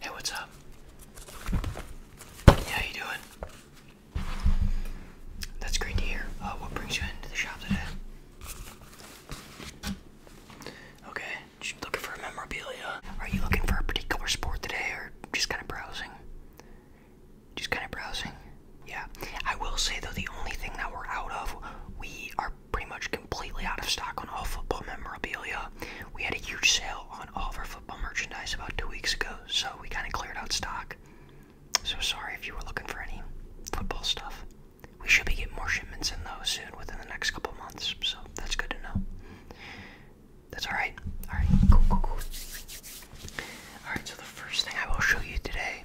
Hey, what's up? How you doing? That's great to hear. Uh, what brings you into the shop today? Okay, looking for memorabilia. Are you looking for a particular sport today, or just kind of browsing? Just kind of browsing. Yeah, I will say though, the only thing that we're out of, we are pretty much completely out of stock on all football memorabilia. We had a huge sale on all of our football merchandise about two weeks ago, so we kind of cleared out stock. So sorry if you were looking for any football stuff. We should be getting more shipments in though soon within the next couple months, so that's good to know. That's alright. Alright, cool, cool, cool. Alright, so the first thing I will show you today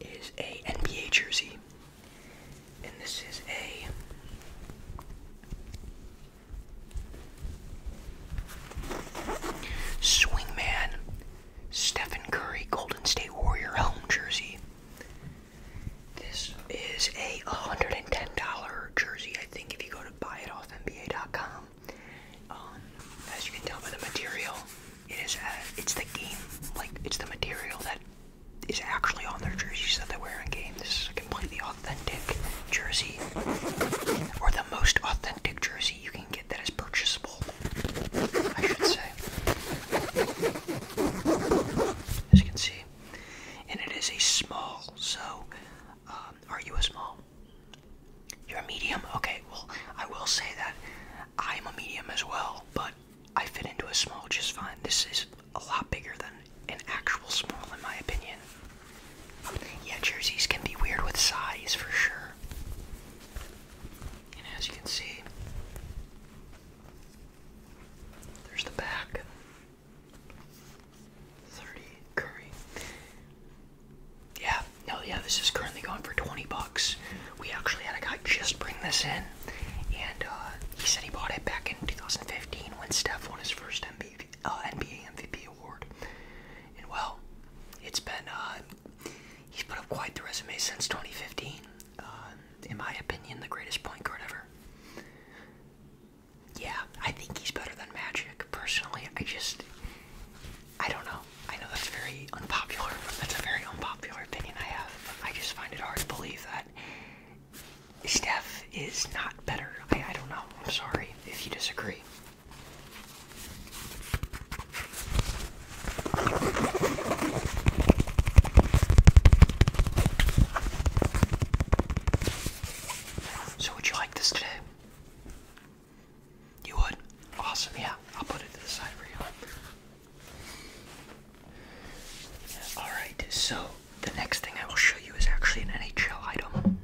is a NBA jersey. And this is a Swingman Stephen Curry Golden State Warrior home jersey. This is a $110 jersey, I think, if you go to buy um, as you can tell by the material, it is uh, it's the game like it's the material that is actually on their jerseys that they wear in game. This is a completely authentic jersey, or the most authentic jersey you can get that is purchasable, I should say. As you can see, and it is a small. So, um, are you a small? You're a medium. Okay. Well, I will say that I'm a medium as well, but I fit into a small just fine. This is a lot bigger than an actual small, in my opinion. Yeah, jerseys can be weird with size for sure. And as you can see, there's the back. 30 curry. Yeah, no, yeah, this is currently going for 20 bucks. We actually had a guy just bring this in and uh, he said he bought it back in 2015 when Steph won his first NBA uh, MVP award. And well, it's been uh, he's put up quite the resume since 2015. in my opinion, the greatest point guard ever. Yeah, I think he's better than Magic. Personally, I just I don't know. I know that's very unpopular. That's a very unpopular opinion I have. I just find it hard to believe that Steph is not better. I don't know. I'm sorry if you disagree. So, would you like this today? You would? Awesome, yeah. I'll put it to the side for you. Alright, so the next thing I will show you is actually an NHL item.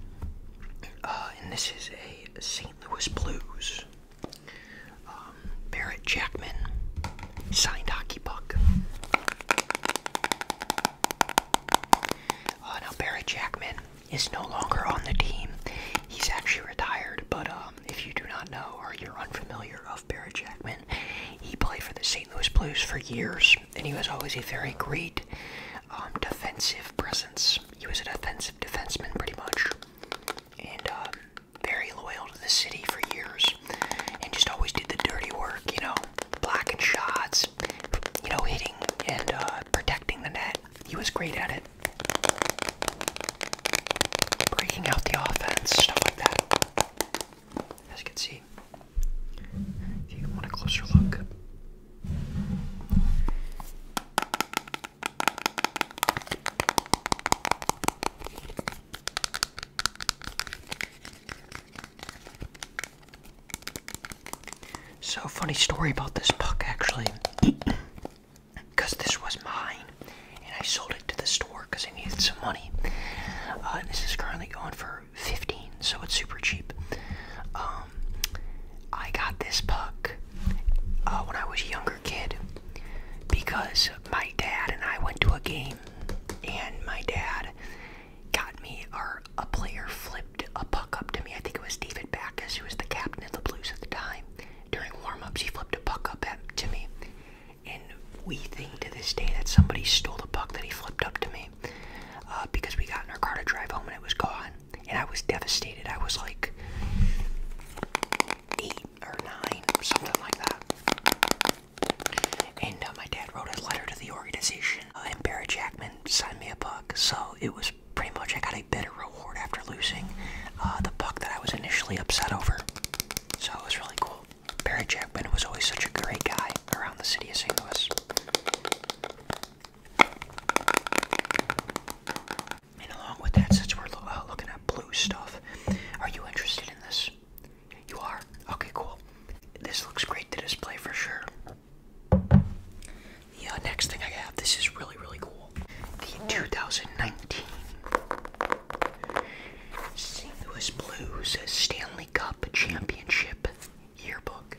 Uh, and this is a St. Louis Blues. Um, Barrett Jackman signed hockey puck. Uh, now, Barrett Jackman is no longer on the team. He's actually retired, but uh, um, if you do not know or you're unfamiliar of Barry Jackman, he played for the St. Louis Blues for years, and he was always a very great um, defensive presence. He was an offensive defenseman, pretty much, and um, very loyal to the city for years, and just always did the dirty work, you know, blocking shots, you know, hitting and uh, protecting the net. He was great at it. Breaking out the offense, stuff like that. As you can see, if you want a closer look, so funny story about this puck actually because this was mine and I sold it to the store because I needed some money. Uh, this is currently going for 15, so it's super cheap. Um, I got this puck uh, when I was a younger kid because my dad and I went to a game, and my dad got me, or a player flipped a puck up to me. I think it was David Backus, who was the captain of the Blues at the time. During warm ups, he flipped a puck up at, to me, and we think to this day that somebody stole the puck that he flipped up to me uh, because we got in our car to drive home and it was gone. And I was devastated. I was like eight or nine, something like that. And uh, my dad wrote a letter to the organization, uh, and Barry Jackman signed me a puck. So it was pretty much I got a better reward after losing the puck that I was initially upset over. So it was really cool. Barry Jackman was always such a great guy around the city of St. Louis. And along with that, since we're uh, looking at blue stuff, are you interested in this? You are? Okay, cool. This looks great to display for sure. The uh, next thing I have, this is really, really cool. The 2019 St. Louis Blues Stanley Cup Championship Yearbook.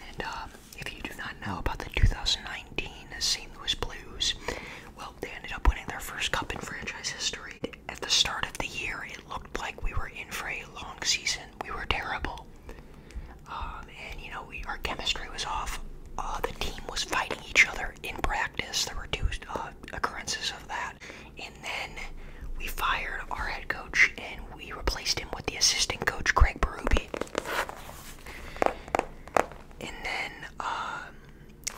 And um, if you do not know about the 2019 St. Louis Blues, well, they ended up winning their first cup in franchise history. At the start of the year, it looked like we were in for a long season. We were terrible. Um, and you know, our chemistry was off. Uh, the team was fighting each other in practice. There were two uh, occurrences of that. And then we fired our head coach and we replaced him with the assistant coach, Craig Berube. And then, um,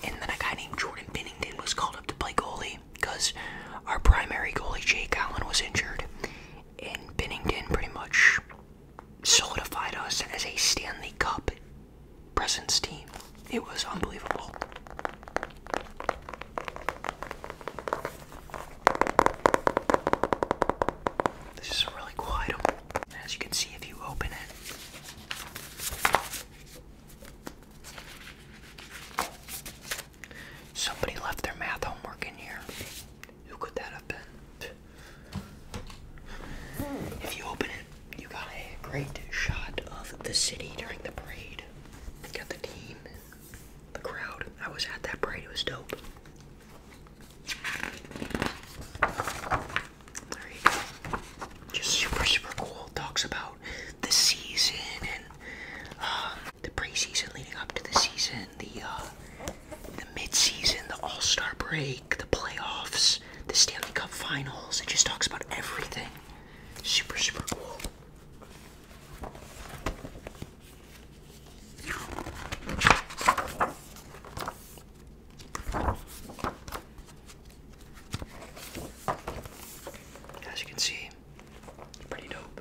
and then a guy named Jordan Bennington was called up to play goalie because our primary goalie, Jake Allen, was injured and Bennington pretty much solidified us as a Stanley Cup presence team. It was unbelievable. This is really cool As you can see, if you open it, Somebody left their math homework in here. Who could that have been? If you open it, you got a great shot of the city during the parade. got the team, the crowd. I was at that parade, it was dope. Just super, super cool. Talks about the season and um, the preseason leading up to the season, the uh, the mid-season, the All-Star break, the playoffs, the Stanley Cup Finals. It just talks about everything. Super, super cool. As you can see, pretty dope.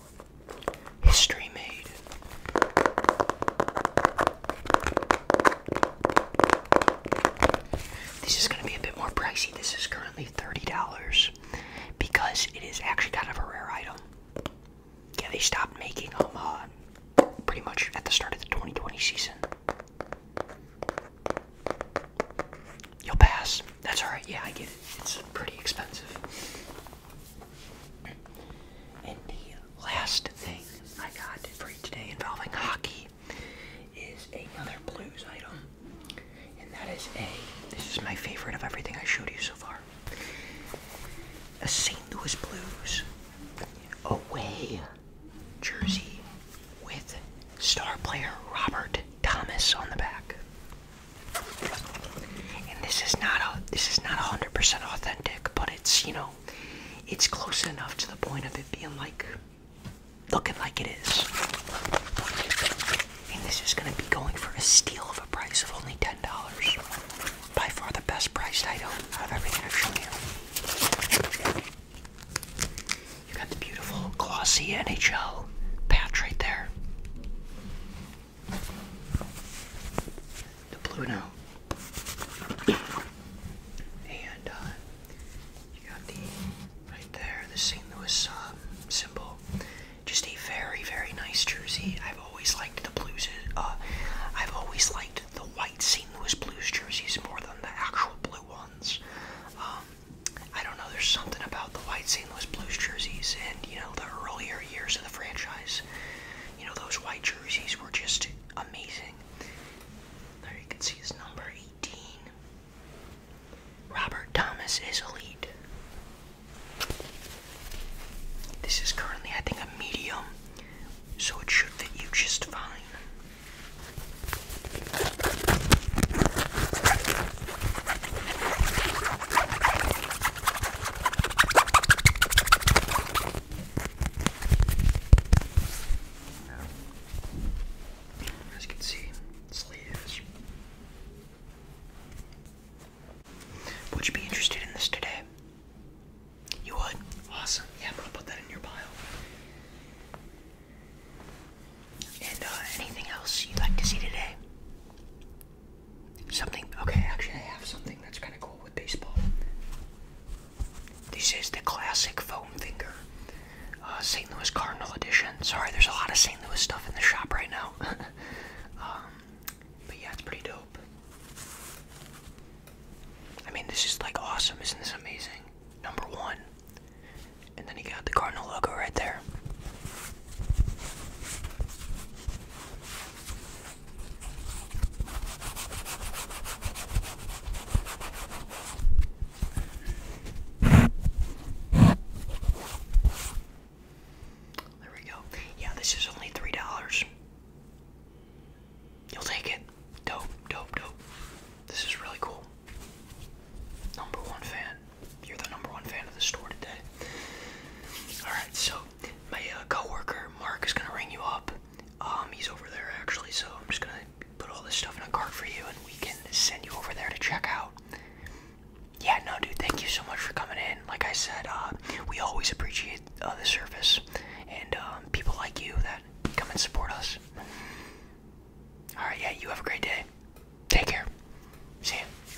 History made. This is going to be a bit more pricey. This is currently $30 because it is actually kind of a rare item. Yeah, they stopped making them uh, pretty much at the start of the 2020 season. You'll pass. That's alright. Yeah, I get it. It's pretty expensive. And the last thing I got for you today involving hockey is another blues item. And that is a, this is my favorite of everything I showed you so far. A St. Louis Blues away jersey with star player Robert Thomas on the back. And this is not a this is not hundred percent authentic, but it's you know, it's close enough to the point of it being like looking like it is. And this is gonna be going for a steal of a price of only ten dollars. By far the best priced item out of everything I've shown you. You got the beautiful glossy NHL patch right there to Pluto. And uh, you got the right there, the St. Louis um, symbol. Just a very, very nice jersey. I've always liked the blues. Uh, I've always liked the white St. Louis Blues jerseys more than the actual blue ones. Um, I don't know. There's something about the white St. Louis Blues jerseys, and you know the earlier years of the franchise you know those white jerseys were just amazing. There you can see his number 18. Robert Thomas is elite. This is currently, I think, a medium, so it should fit you just fine. As you can see, sleeves. Would you be interested in this today? You would? Awesome. Yeah, I'm gonna put that in your pile. And uh, anything else you'd like to see today? Something, okay, actually, I have something that's kind of cool with baseball. This is the classic foam finger, uh, St. Louis Cardinal edition. Sorry, there's a lot of St. Louis stuff in the shop right now. Um, but yeah, it's pretty dope. I mean, this is like awesome. Isn't this amazing? Number one. And then you got the Cardinal logo right there. There we go. Yeah, this is only three dollars. You'll take it. Dope, dope, dope. This is really cool. Number one fan. You're the number one fan of the store today. Alright, so my uh, coworker Mark is gonna ring you up. Um, he's over there actually, so I'm just gonna put all this stuff in a cart for you and we can send you over there to check out. Yeah, no, dude, thank you so much for coming in. Like I said, uh, we always appreciate uh, the service and um, people like you that come and support us. Alright, yeah, you have a great day. Take care. See ya.